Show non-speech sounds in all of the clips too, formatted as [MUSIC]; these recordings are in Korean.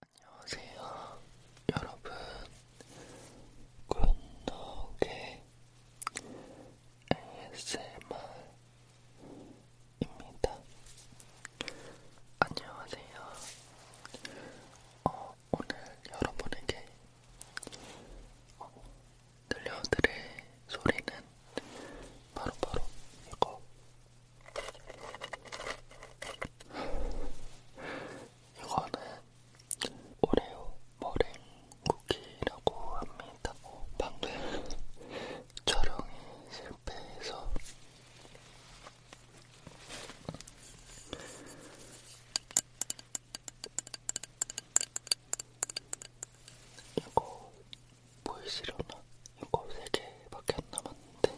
안녕하세요 여러분 굿노게 ASMR입니다 안녕하세요 어, 오늘 여러분에게 어, 들려드릴 소리는 바로바로 바로 이거 이거는 오레오 머랭 쿠키라고 합니다. 어, 방금 촬영이 실패해서 이거 보이시려나? 이거 3개밖에 안 남았는데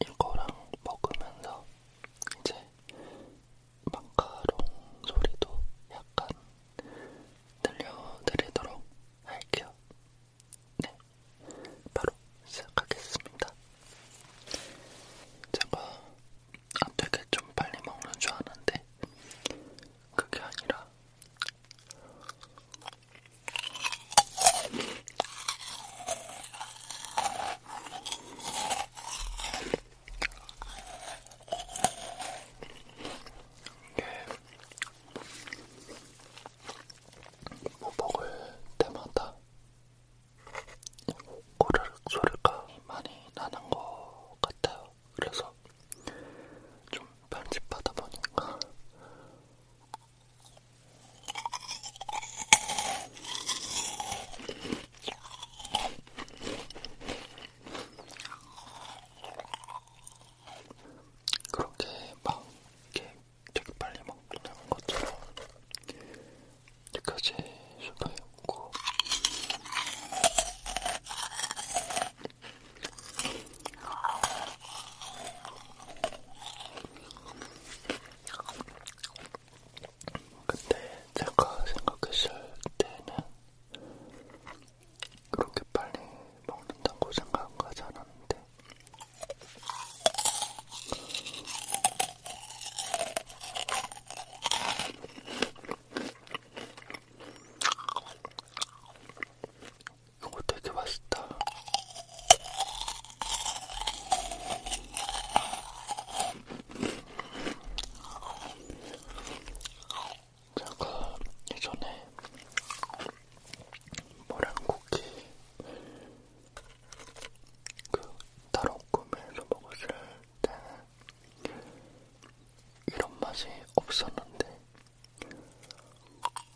이거랑 먹으면서 이제 마카롱 소리도 약간 들려드리도록 할게요. 네, 바로 시작하겠습니다. 제가 아, 되게 좀 빨리 먹는 줄 아는데 그게 아니라 이게 뭐 먹을 때마다 꼬르륵 소리가 많이 나는 것 같아요. 그래서 좀 편집하다 보니까 그렇게 막 이렇게 되게 빨리 먹는 것처럼 여기까지 수도 있고 근데 제가 생각했을 때는 그렇게 빨리 먹는다고 생각하지 않았는데 이거 되게 맛있다. 제가 예전에 모란쿠키 그 다른 구매해서 먹었을 때는 이런 맛이 없었는데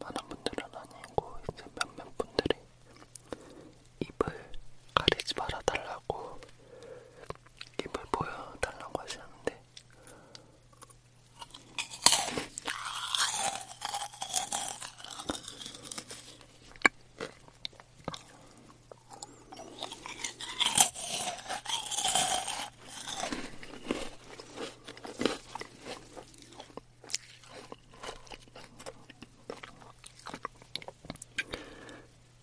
많은 분들은 아니고 이제 몇몇 분들이 입을 가리지 말아달라고 입을 보여달라고 하시는데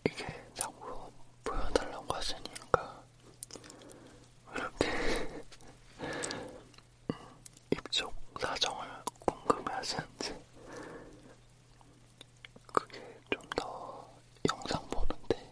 이게 자꾸 보여달라고 하시니까 이렇게 [LAUGHS] 입쪽 사정을 궁금해하시는지 그게 좀 더 영상 보는데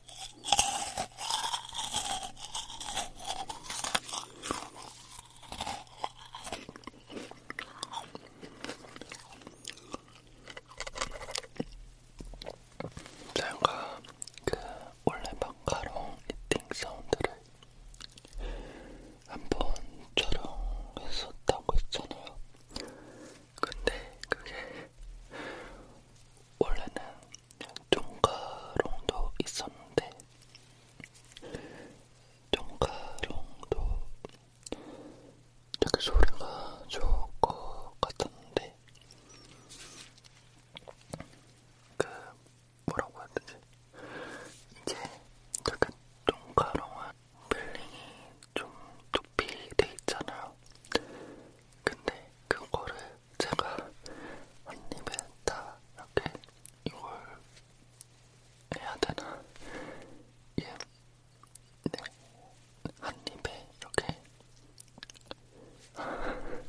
제가 그 원래 마카롱 이팅 사운드를 한번 촬영했었다고 했잖아요. 근데 그게 원래는 종가롱도 있었는데 종가롱도 되게 소리가 좋을 것 같았는데 그 뭐라고 해야 되지? 이제 되게 종가롱은 빌링이 좀 높이 돼 있잖아요. 근데 그거를 제가 한 입에 다 이렇게 이걸 해야 되나? 예, 네, 한 입에 이렇게. [LAUGHS]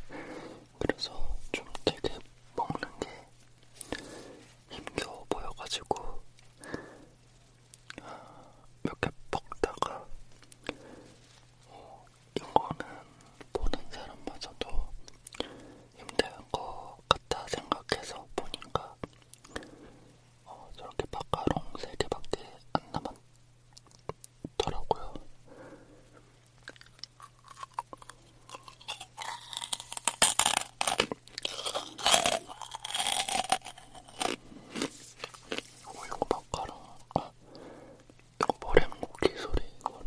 그래서 좀 되게 먹는 게 힘겨워 보여가지고 몇 아, 개 먹다가 어, 이거는 보는 사람마저도 힘들 것 같아 생각해서 보니까 어, 저렇게 바카롱 3개밖에 안 남았더라고요. 오 이거 마카롱 아, 버렘 쿠키 소리 이거는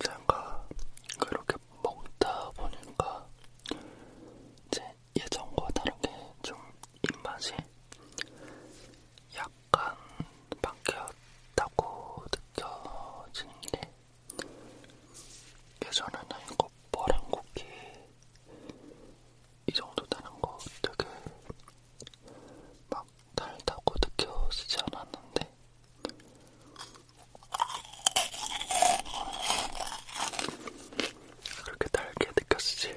제가 그렇게 먹다 보니까 제 예전과 다르게 좀 입맛이 약간 바뀌었다고 느껴지는 게 예전에는 이거 머랭쿠키 이 정도다는 거 되게 막 달다고 느껴지지 않았는데 그렇게 달게 느껴지지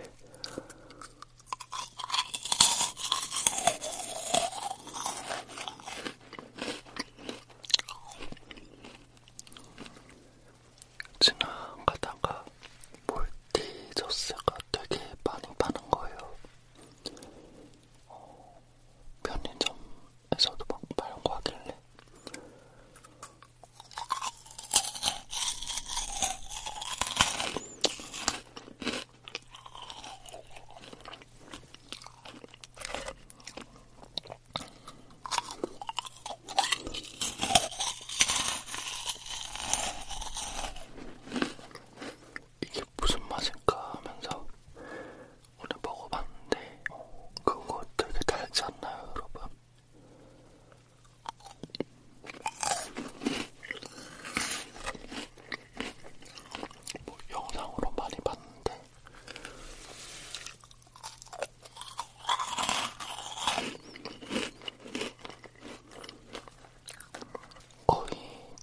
지나가다가 몰티저스가 되게 많이 파는 거예요. 어, 편의점에서도 막 팔고 하길래 이게 무슨 맛일까 하면서 오늘 먹어봤는데 어, 그거 되게 달지 않나요 여러분? 뭐 영상으로 많이 봤는데 거의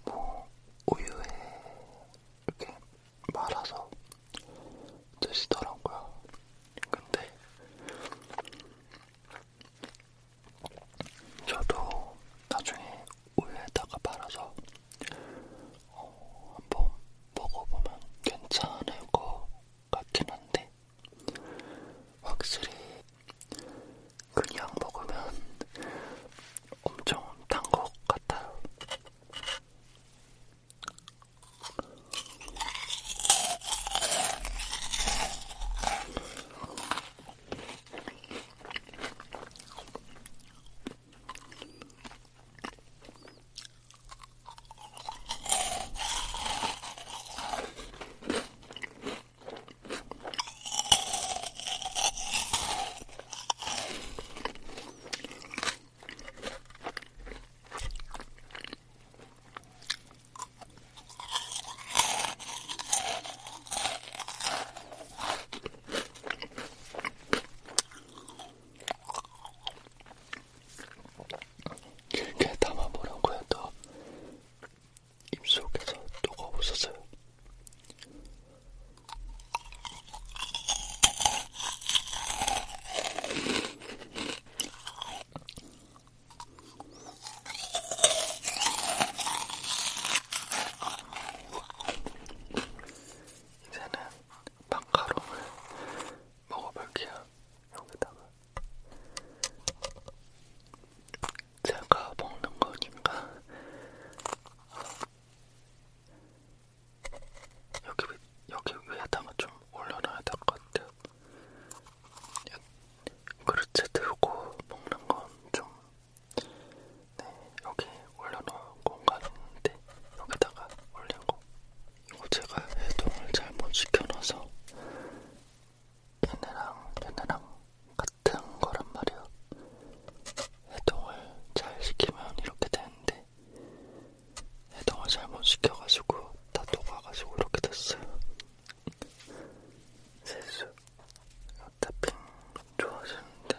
뭐 우유에 이렇게 말아서 드시더라고요. 근데 저도 나중에 우유에다가 말아서 어, 한번 먹어보면 괜찮을 것 같긴 한데 확실히 그냥 먹으면 엄청 단 것 같아요. 길게 담아보라고 해도 입속에서 녹아오셨어요. 이제는 마카롱을 먹어볼게요. 여기다가 제가 먹는 거니까 여기 여기 위에다가 좀 올려놔야 될 것 같아요. 그릇에 들고 먹는 건좀 네, 여기 올려놓은 공간이 있는데 여기다가 올리고 이거 제가 해동을 잘못 시켜놔서 얘네랑 얘네랑 같은 거란 말이야. 해동을 잘 시키면 이렇게 되는데 해동을 잘못 시켜가지고 다 녹아가지고 이렇게 됐어요. 세수 어차피 좋아지는데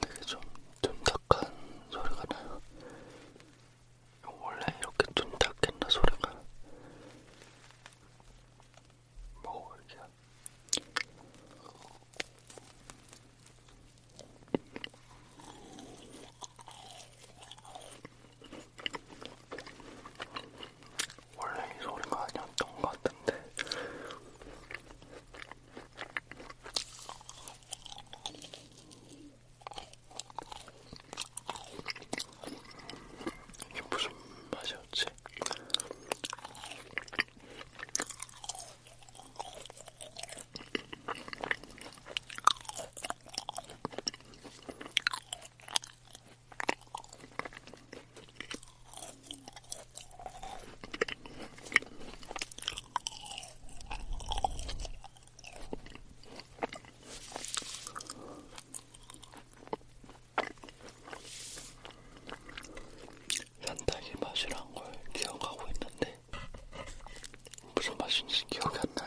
되게 좀 둔탁한 소리가 나요. 원래 이렇게 둔탁했나 소리가 뭐 이렇게 원래 이 소리가 아니었던 것 같은데 이게 무슨 맛이었지? 산딸기 맛이란 걸 기억하고 있는데 무슨 맛인지 기억이 안 나요.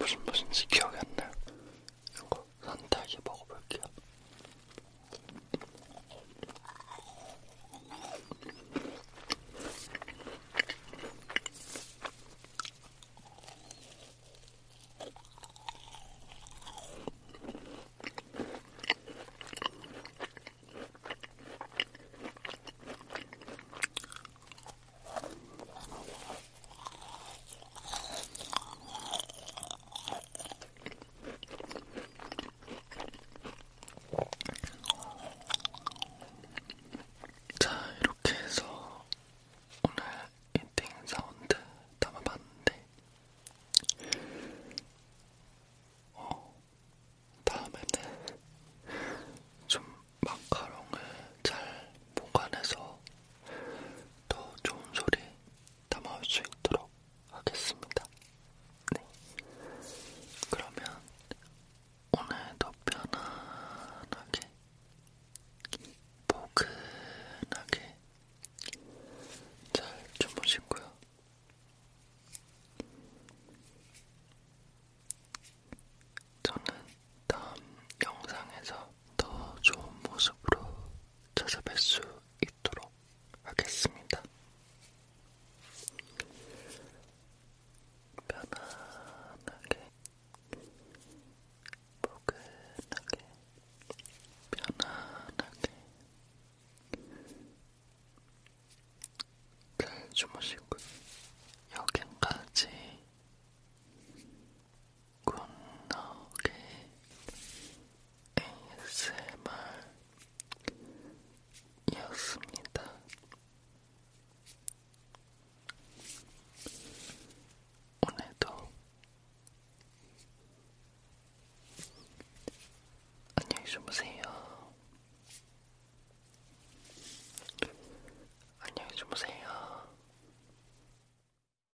무슨 무슨지 기억이 안 나요. 이거 산딸기 먹어볼게요. 자, 이렇게 해서 오늘 인팅 사운드 담아봤는데, 어, 다음에는 좀 마카롱을 잘 보관해서 더 좋은 소리 담아올 수 있도록 하겠습니다. 네. 그러면 오늘도 편안하게, 포근하게 잘 주무시고요. 저는 다음 영상에서 더 좋은 모습으로 찾아뵐 수 있도록 하겠습니다. 편안하게, 포근하게, 편안하게 잘 주무시고요. 여기까지 굿나오게 ASMR이었습니다. 오늘도 안녕히 주무세요. 안녕히 주무세요.